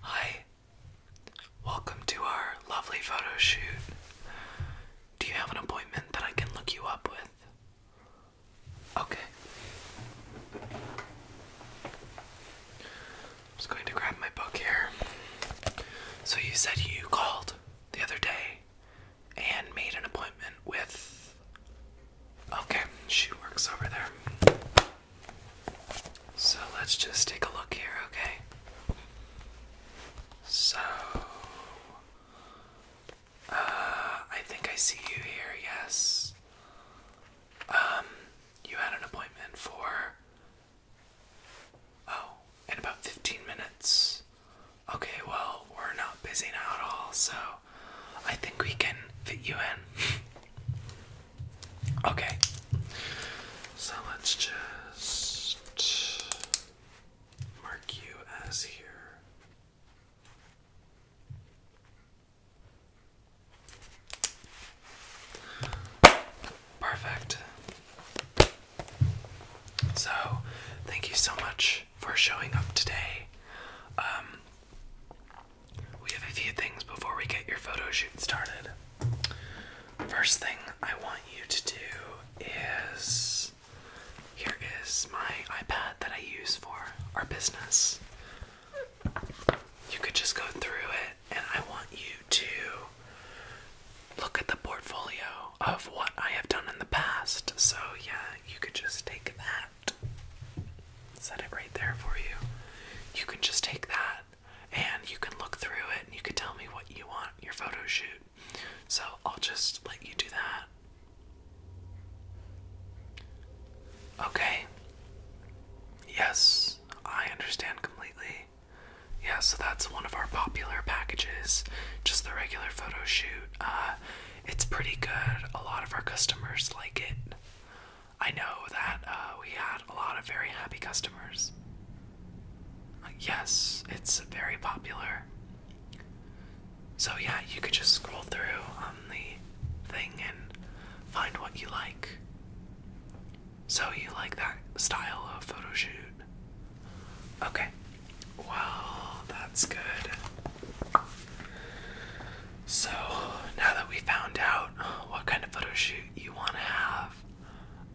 Hi, welcome to our lovely photo shoot. Do you have an appointment that I can look you up with? Okay. I'm just going to grab my book here. So, you said you called the other day and made an appointment with. Okay, she works over there. So let's just take a look here, okay? So, uh, I think I see you here, yes. Um, you had an appointment for. Oh, in about 15 minutes. Okay, well, we're not busy now at all, so I think we can fit you in. Okay. So let's just mark you as here. Perfect. So, thank you so much for showing up today. Um, we have a few things before we get your photo shoot started. First thing I want you to do is here is my iPad that I use for our business. You could just go through it, and I want you to look at the portfolio of what I have done in the past. So, yeah, you could just take that Set it right there for you. You can just take that and you can look through it and you can tell me what you want your photo shoot. So I'll just let you do that. Okay. Yes, I understand completely. Yeah, so that's one of our popular packages, just the regular photo shoot. Uh, it's pretty good. A lot of our customers like it. I know that uh, we had a lot of very happy customers. Uh, yes, it's very popular. So, yeah, you could just scroll through on the thing and find what you like. So, you like that style of photo shoot? Okay. Well, that's good. So, now that we found out what kind of photo shoot you want to have,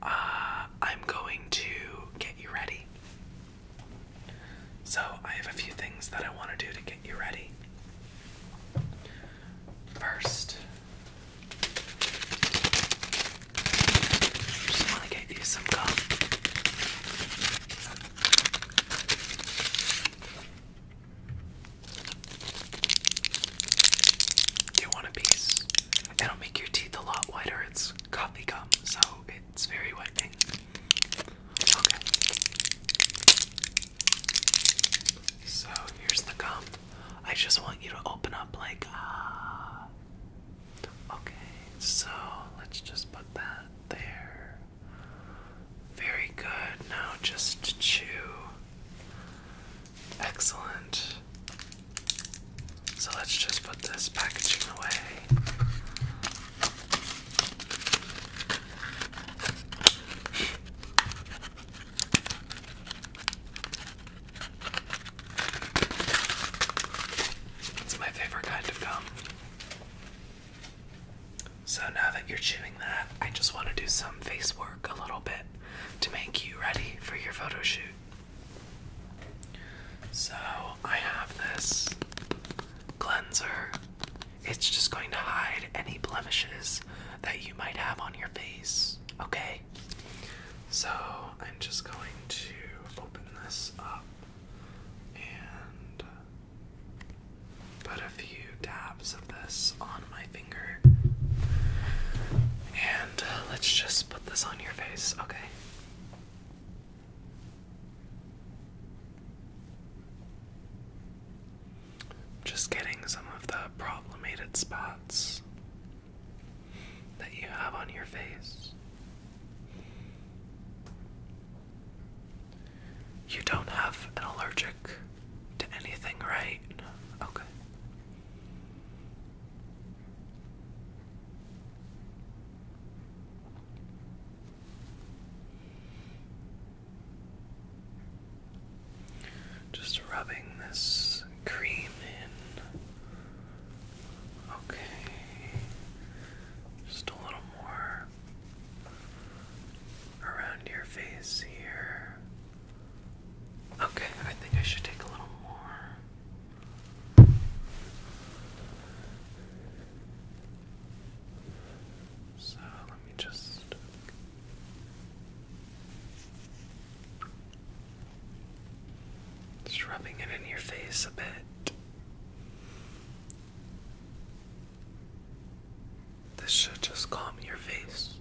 uh, I'm going to get you ready. So, I have a few things that I want to do to get you ready. First, I just want to get you some do you want a piece? It'll make your teeth a lot whiter. It's coffee gum, so it's very whitening. Okay. So here's the gum. I just want you to open up like ah. Okay, so let's just put that there. Very good. Now just chew. Excellent. So let's just put this packaging away. It's my favorite kind of gum. So now that you're chewing that, I just want to do some face work a little bit to make you ready for your photo shoot. So I have this cleanser. It's just going to hide any blemishes that you might have on your face, okay? So I'm just going to open this up and put a few dabs of this on my finger. And let's just put this on your face, okay? Just getting some of the problemated spots that you have on your face. You don't have an allergic to anything, right? Okay. Just rubbing this cream in. Okay. Just a little more around your face here. Okay, I think I should take a little more. So let me just. Just rubbing it in your face a bit. This should just calm your face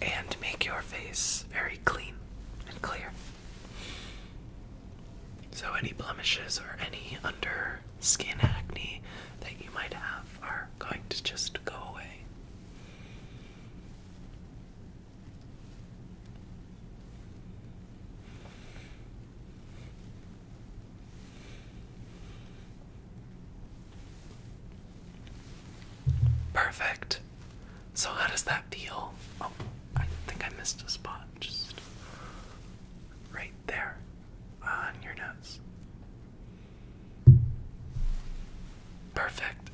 and make your face very clean and clear. So, any blemishes or any under skin acne that you might have are going to just go away. Perfect. So, how does that feel? Oh, I think I missed a spot. Just right there on your nose. Perfect.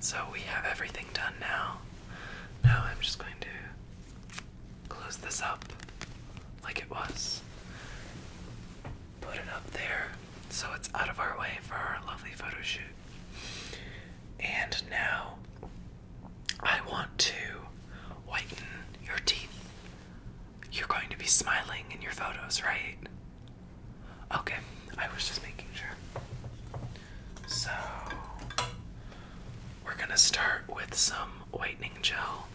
So, we have everything done now. Now, I'm just going to Close this up like it was. Put it up there so it's out of our way for our lovely photo shoot. And now I want to whiten your teeth. You're going to be smiling in your photos, right? Okay, I was just making sure. So, we're gonna start with some whitening gel.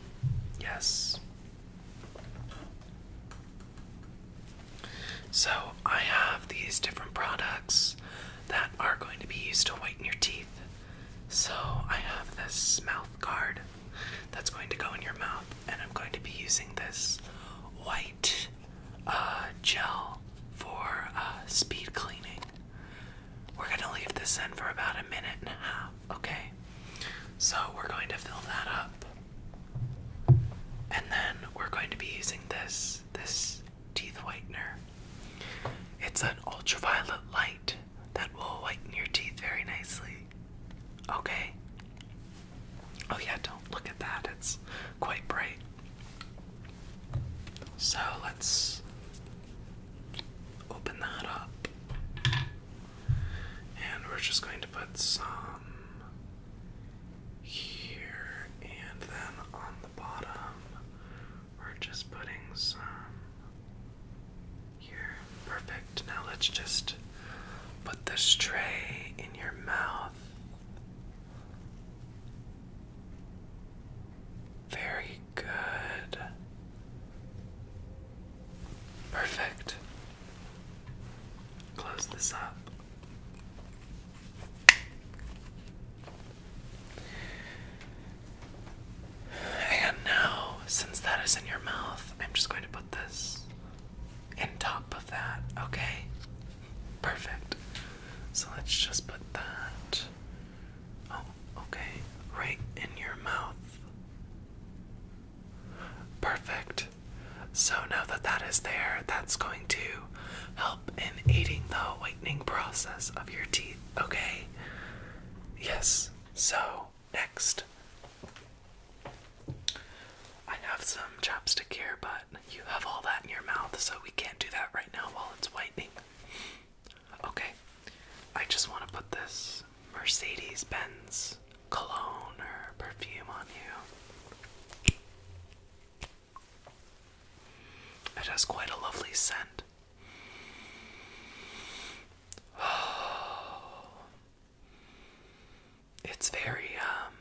Yes. So, I have these different products that are going to be used to whiten your teeth. So, I have this mouth guard that's going to go in your mouth, and I'm going to be using this white uh, gel for uh, speed cleaning. We're gonna leave this in for about a minute and a half, okay? So we're going to fill that up. And then we're going to be using this this teeth whitener. It's an ultraviolet light that will whiten your teeth very nicely. Okay? Oh yeah, don't look at that. It's quite bright. So let's open that up. And we're just going to put some here and then on the bottom, we're just putting some here. Perfect. Now let's just put this tray in your mouth. Very good. Perfect. Close this up. And now, since that is in your mouth, I'm just going to put this in top of that, okay? Perfect. So let's just put that. Oh, okay. Right in your mouth. Perfect. So now that that is there, that's going to help in aiding the whitening process of your teeth, okay? Yes. So, next. I have some chapstick here, but you have all that in your mouth, so we can't do that right now while it's whitening. Okay, I just want to put this Mercedes Benz cologne or perfume on you. It has quite a lovely scent. Oh. It's very um,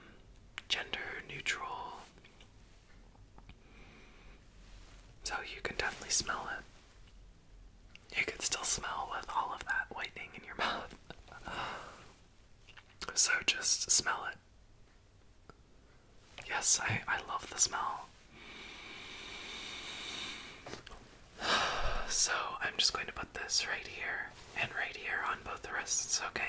gender neutral. So you can definitely smell it. You can still smell with all of that whitening in your mouth. so just smell it. Yes, I, I love the smell. So I'm just going to put this right here and right here on both the wrists, okay?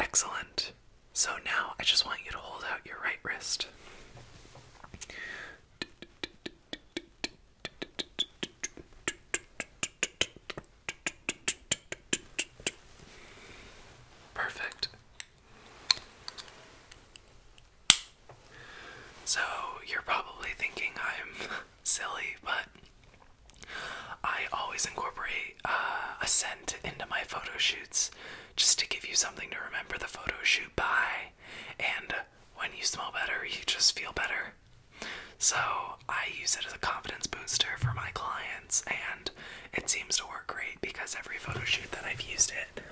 Excellent. So now I just want you to hold out your right wrist. Perfect. So, you're probably thinking I'm silly, but I always incorporate uh, a scent into my photo shoots just to give you something to remember the photo shoot by. And when you smell better, you just feel better. So, I use it as a confidence booster for my clients, and it seems to work great because every photo shoot that I've used it,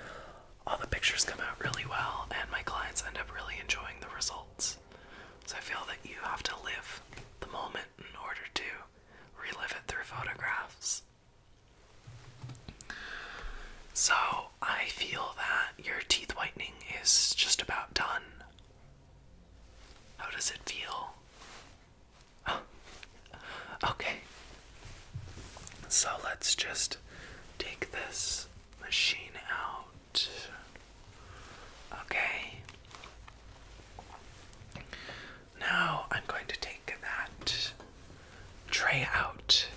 all the pictures come out really well, and my clients end up really enjoying the results. So I feel that you have to live the moment in order to relive it through photographs. So I feel that your teeth whitening is just about done. How does it feel? Okay, so let's just take this machine out. Okay. Now I'm going to take that tray out.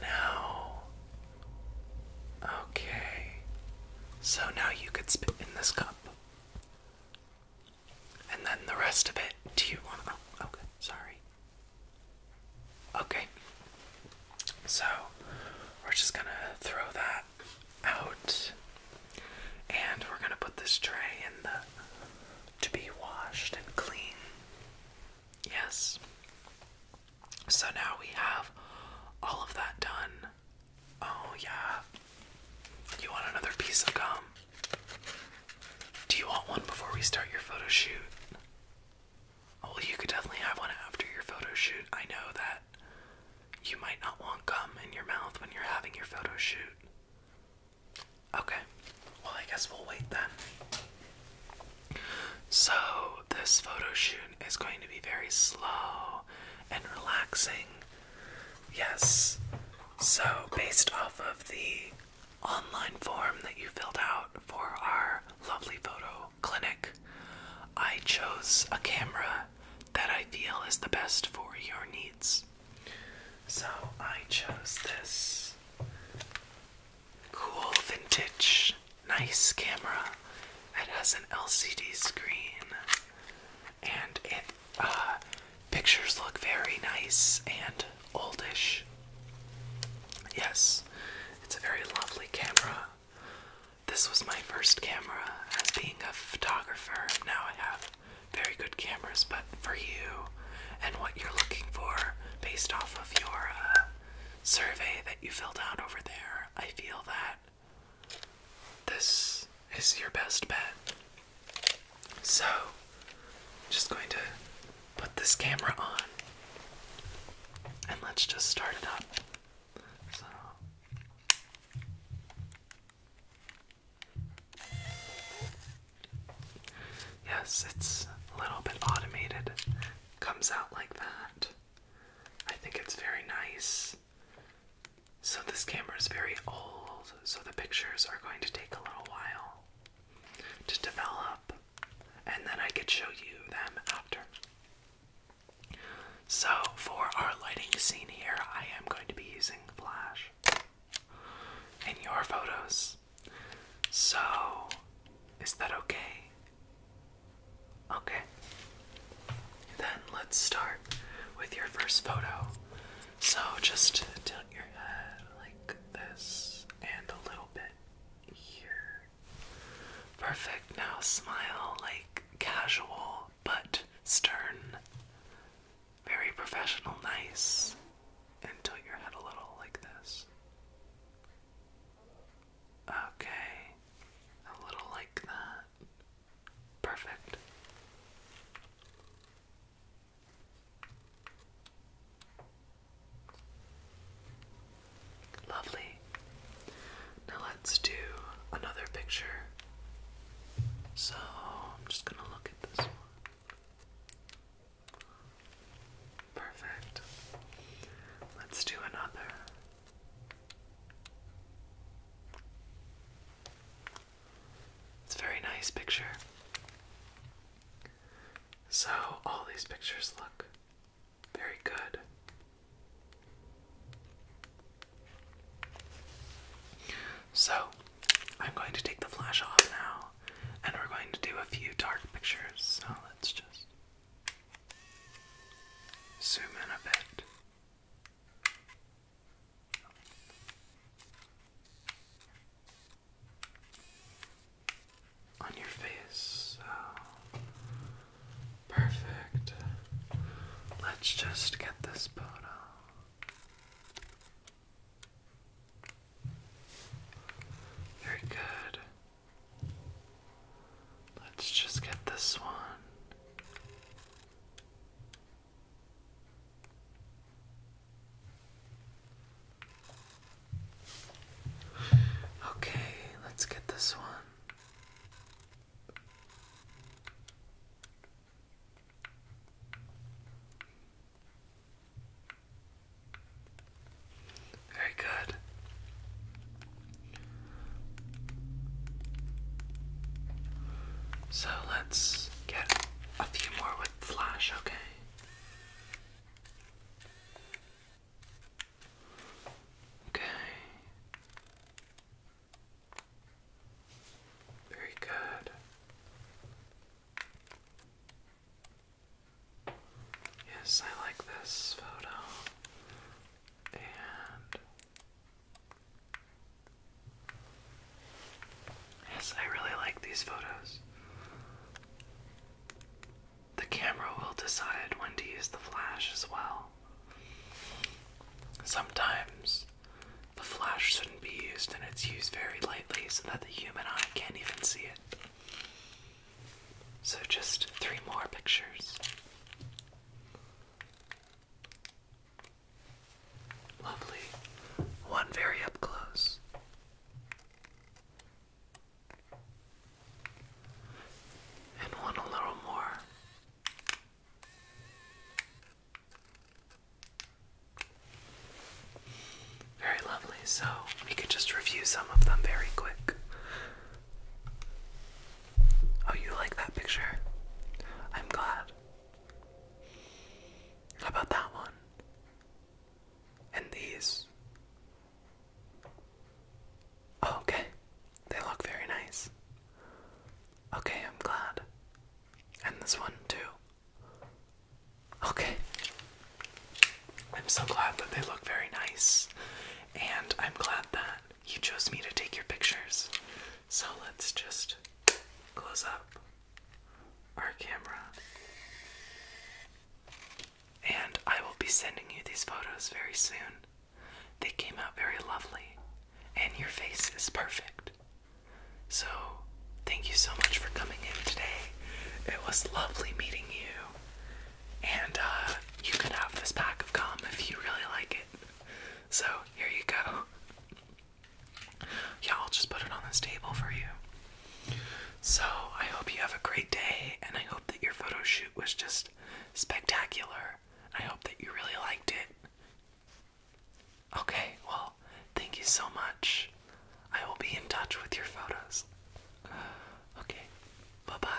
Now. Okay. So now you could spit in this cup. And then the rest of it, do you want? to Oh, okay, sorry. Okay. So we're just gonna throw that out and we're gonna put this tray in the to be washed and clean. Yes. So now we have all of that done. Oh, yeah. You want another piece of gum? Do you want one before we start your photo well, oh, you could definitely have one after your photo shoot. I know that you might not want gum in your mouth when you're having your photo shoot. Okay, well, I guess we'll wait then. So, this photo shoot is going to be very slow and relaxing. Yes. So, based off of the online form that you filled out for our lovely photo clinic, I chose a camera that I feel is the best for your needs. So I chose this cool vintage nice camera that has an LCD screen and it uh, Pictures look very nice and oldish. Yes, it's a very lovely camera. This was my first camera as being a photographer. Now I have very good cameras, but for you and what you're looking for based off of your uh, survey that you filled out over there, I feel that this is your best bet. So, just going to put this camera on and let's just start it up. So, yes, it's a little bit automated, comes out like that. I think it's very nice. So, this camera is very old, so the pictures are going to take a little while to develop, and then I could show you them after. So, for our lighting scene here, I am going to be using flash in your photos. So, is that okay? Okay. Then let's start with your first photo. So just tilt your head like this and a little bit here. Perfect. Now smile like casual but stern. Very professional, nice. And tilt your head a little like this. Okay. A little like that. Perfect. Lovely. Now let's do another picture. So I'm just going to look at this one. Perfect. Let's do another. It's a very nice picture. So, all these pictures look very good. So, I'm going to take the flash off now, and we're going to do a few dark pictures. So, let's just zoom in a bit. On your face. Perfect. Let's just get this photo. Very good. Let's just get this one. Okay, let's get this one. Very good. So let's get a few more with flash, okay? Okay. Very good. Yes, I like this photo. And Yes, I really like these photos. The camera will decide when to use the flash as well. Sometimes the flash shouldn't be used and it's used very lightly so that the human eye can't even see it. So, just three more pictures. Lovely. One very up close. And one a little more. Very lovely. So we could just review some of them very quick. Oh, you like that picture? I'm glad about that one? And these. Oh, okay. They look very nice. Okay, I'm glad. And this one too. Okay. I'm so glad that they look very nice. And I'm glad that you chose me to take your pictures. So let's just close up our camera. And I will be sending you these photos very soon. They came out very lovely, and your face is perfect. So, thank you so much for coming in today. It was lovely meeting you. And uh, you can have this pack of gum if you really like it. So, here you go. Yeah, I'll just put it on this table for you. So, I hope you have a great day, and I hope that your photo shoot was just spectacular. I hope that you really liked it. Okay, well, thank you so much. I will be in touch with your photos. Okay, bye bye.